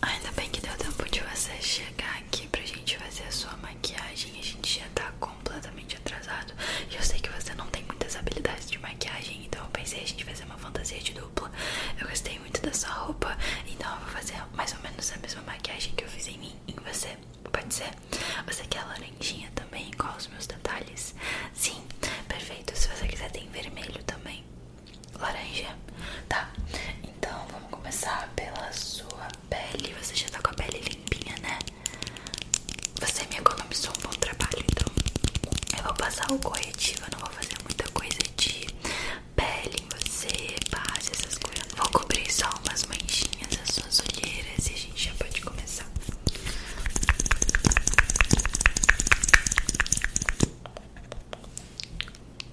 Ainda bem que deu tempo de você chegar aqui pra gente fazer a sua maquiagem. A gente já tá completamente atrasado. eu sei que você não tem muitas habilidades de maquiagem, então eu pensei a gente fazer uma fantasia de dupla. Eu gostei muito da sua roupa, então eu vou fazer mais ou menos a mesma maquiagem que eu fiz em mim, em você. Pode ser? Você quer laranjinha também, igual os meus detalhes? Sim, perfeito. Se você quiser, tem vermelho também laranja, tá? Então vamos começar pela sua pele. Você já tá com a pele limpinha, né? Você me economizou um bom trabalho, então eu vou passar o corretivo. Eu não vou fazer muita coisa de pele em você, base, essas coisas. Vou cobrir só umas manchinhas as suas olheiras e a gente já pode começar.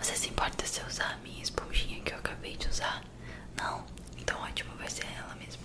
Você se importa se eu usar a minha esponjinha que eu acabei de usar? Não? Então ótimo, vai ser ela mesmo.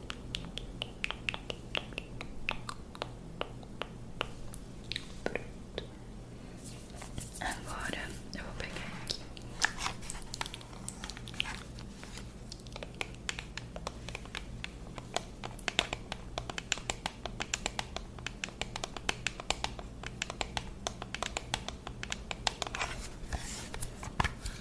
Agora eu vou pegar aqui.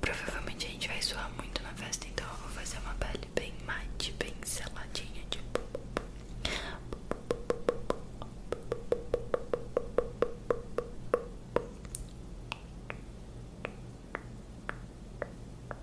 Provavelmente a gente vai suar muito na festa, então eu vou fazer uma pele bem mate, bem seladinha, tipo.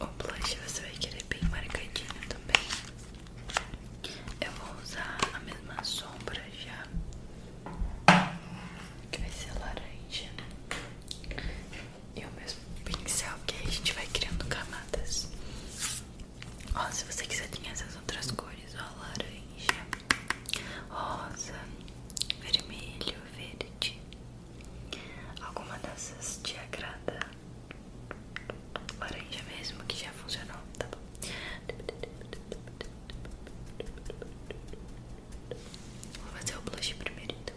O blush você vai querer bem marcadinho também. Eu vou usar a mesma sombra já, que vai ser laranja. Né? e o mesmo pincel que aí a gente vai criando camadas. Ó, se você quiser tem essas outras cores, ó, laranja, rosa, vermelho, verde. Alguma dessas te agrada? Laranja mesmo que já funcionou, tá bom? Vou fazer o blush primeiro então.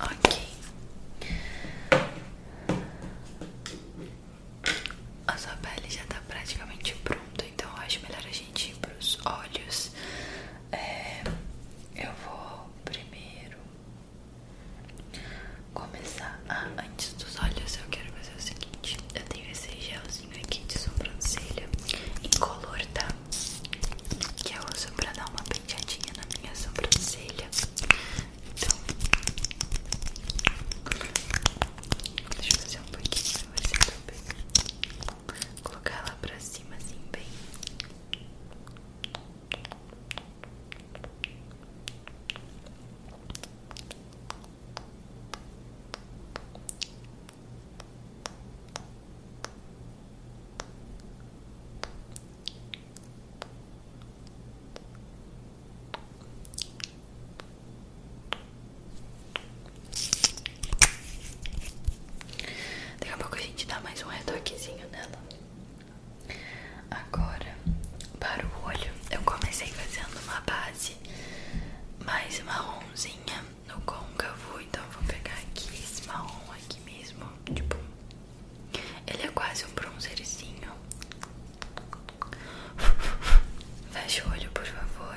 Ok. A sua pele já está praticamente pronta, então acho melhor a gente ir pros olhos. É, eu vou primeiro começar. antes dos olhos, eu quero fazer o seguinte: eu tenho esse gelzinho aqui de sobrancelha color tá? Que eu uso pra dar uma penteadinha na minha sobrancelha. Então, deixa eu fazer um pouquinho pra você também. Colocar ela pra cima, assim, bem. Daqui a pouco a gente dá mais um retoquezinho nela. Agora, para o olho, eu comecei fazendo uma base base mais marronzinha no côncavo. Então eu vou pegar aqui esse marrom aqui mesmo. Tipo, ele é quase um bronzerzinho. Fecha o olho, por favor.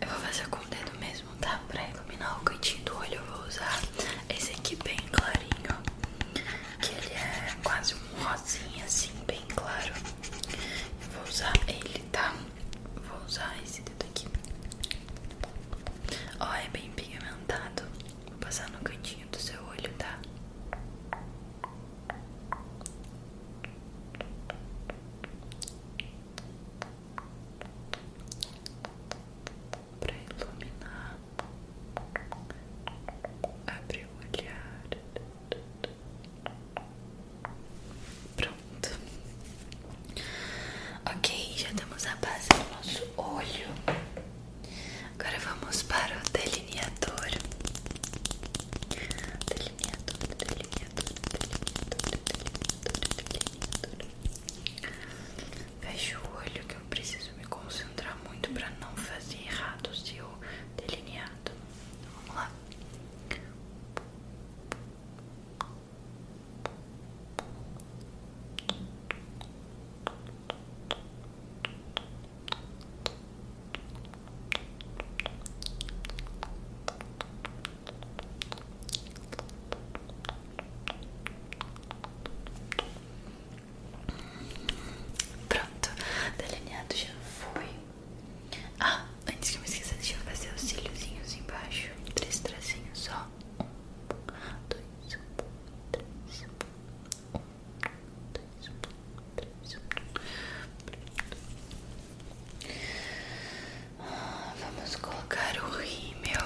Eu vou fazer com o dedo mesmo, tá? Pra iluminar o cantinho do olho, eu vou usar esse aqui bem clarinho. Que ele é quase um rosinha, assim, bem claro. Eu vou usar ele, tá? Vou usar esse dedo aqui. Ó, é bem pigmentado. Vou passar no cantinho do seu olho, tá? para iluminar, abrir o olhar. Pronto. Ok, já temos a base do nosso olho. Agora vamos para o delineador. Delineador, delineador, delineador, delineador, delineador. Fecha o olho que eu preciso me concentrar muito para não fazer errado o seu delineado. vamos lá. Pronto, delineado já fui Ah, antes que eu me esqueça, deixa eu fazer os cíliozinhos embaixo. Três tracinhos só. Um, dois, um, três, um, dois, um, três, um. Vamos colocar o rímel.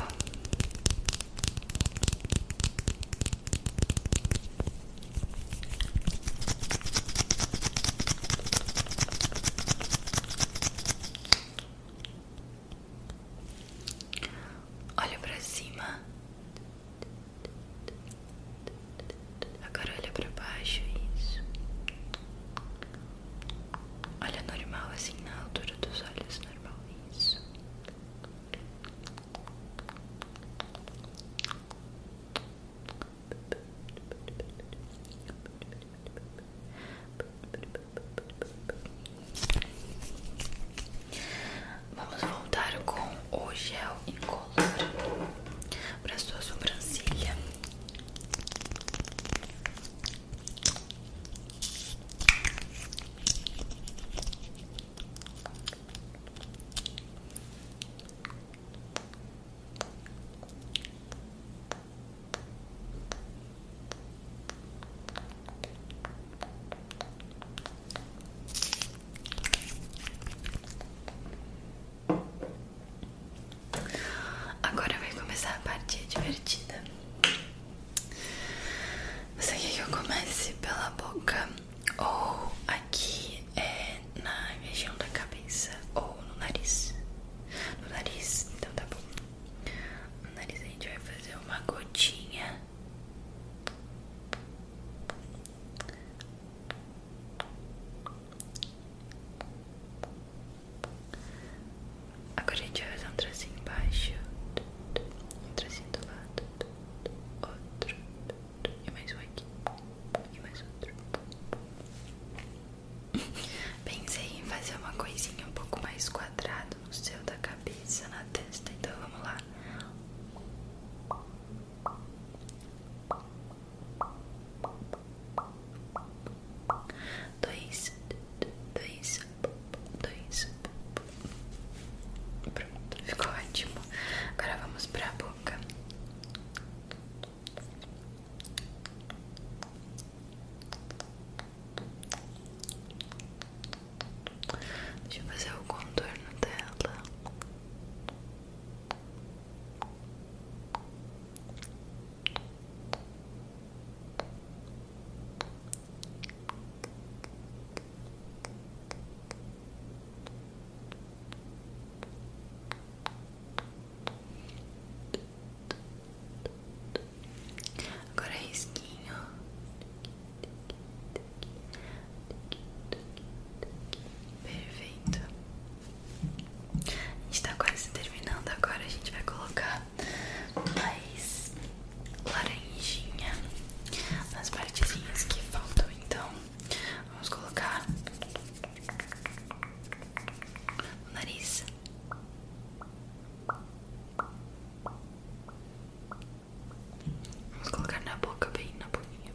Olha para cima. Agora olha para baixo, isso. Olha normal assim na altura dos olhos normal, isso. Vamos voltar com o gel incolor para sua sobrancelha. Agora vai começar a parte divertida. Você quer que eu comece pela boca ou aqui é na região da cabeça ou no nariz? No nariz, então tá bom. No nariz a gente vai fazer uma gotinha. Agora a gente vai fazer um tracinho embaixo, um tracinho do lado, outro, e mais um aqui, e mais outro. Pensei em fazer uma coisinha um pouco mais quadrada no céu da cabeça, na testa, então vamos lá dois, dois, dois. Pronto, ficou ótimo. Agora vamos para a boca. Deixa eu fazer o contorno dela. Agora é risquinho. Perfeito. A gente está quase terminando agora, a gente vai colocar tá mais laranjinha nas partezinhas que faltam. Então, vamos colocar o nariz. Vamos colocar na boca, bem na boquinha.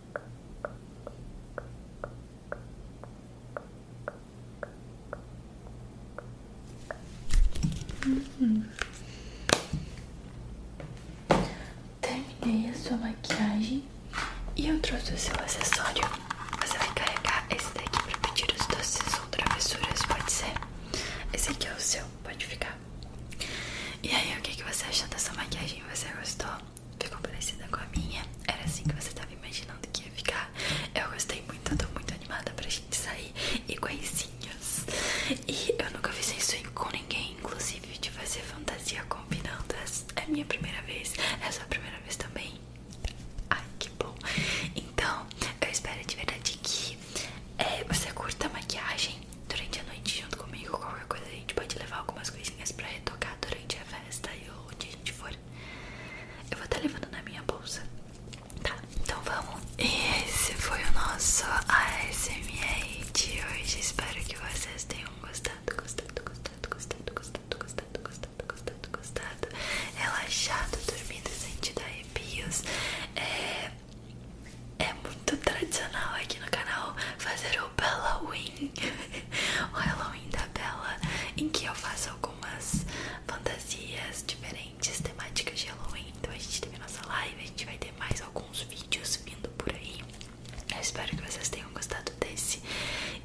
Terminei a sua maquiagem e eu trouxe o seu acessório. Você vai carregar esse daqui para pedir os doces ou travessuras, pode ser? Esse aqui é o seu, pode ficar. E aí, o que, que você achou dessa maquiagem? Você gostou? ficou é parecida com a minha. Era assim que você tava imaginando que ia ficar. Eu gostei muito, eu tô muito animada pra gente sair e coisinhas. E eu nunca fiz isso com ninguém, inclusive de fazer fantasia combinando. É, é minha primeira vez, é sua primeira vez também. Ai, que bom. Então, eu espero de verdade que é, você curta a maquiagem durante a noite junto comigo. Qualquer coisa a gente pode levar algumas coisinhas pra retocar durante a festa praia ou onde a gente for. Eu vou estar tá levando na minha bolsa. Tá, então vamos. esse foi o nosso ASMR de hoje. Espero que vocês tenham gostado, gostado, gostado, gostado, gostado, gostado, gostado, gostado, gostado. Relaxado, dormindo, sentido arrepios. É, é muito tradicional aqui no canal fazer o Halloween. o Halloween tabela em que eu faço algumas fantasias diferentes, temáticas de Halloween. Então a gente teve nossa live, a gente vai ter mais alguns vídeos vindo por aí. Eu espero que vocês tenham gostado desse.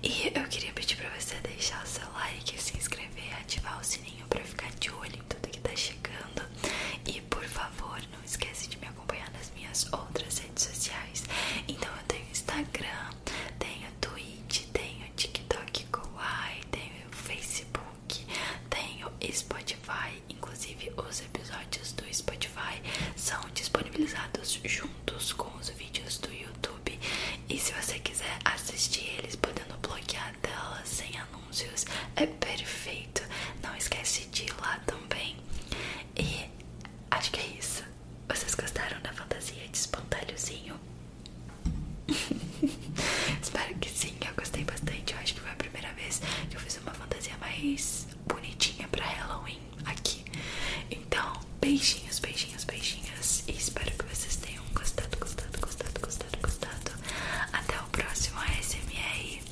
E eu queria pedir pra você deixar o seu like, se inscrever, ativar o sininho pra ficar de olho em tudo que tá chegando. E por favor, não esquece de me acompanhar nas minhas outras redes sociais. Então eu tenho Instagram, tenho o Twitch, tenho o TikTok Kawaii, tenho Facebook, tenho o Spotify. Inclusive, os episódios do Spotify são disponibilizados juntos com os vídeos do YouTube. E se você quiser assistir eles podendo bloquear a tela sem anúncios, é perfeito. Não esquece de ir lá também. E acho que é isso. Vocês gostaram da fantasia de espantalhozinho? Espero que sim, eu gostei bastante. Eu acho que foi a primeira vez que eu fiz uma fantasia mais bonitinha pra Halloween aqui. Então, beijinhos, beijinhos, beijinhos. E espero que vocês tenham gostado, gostado, gostado, gostado, gostado. Até o próximo ASMR.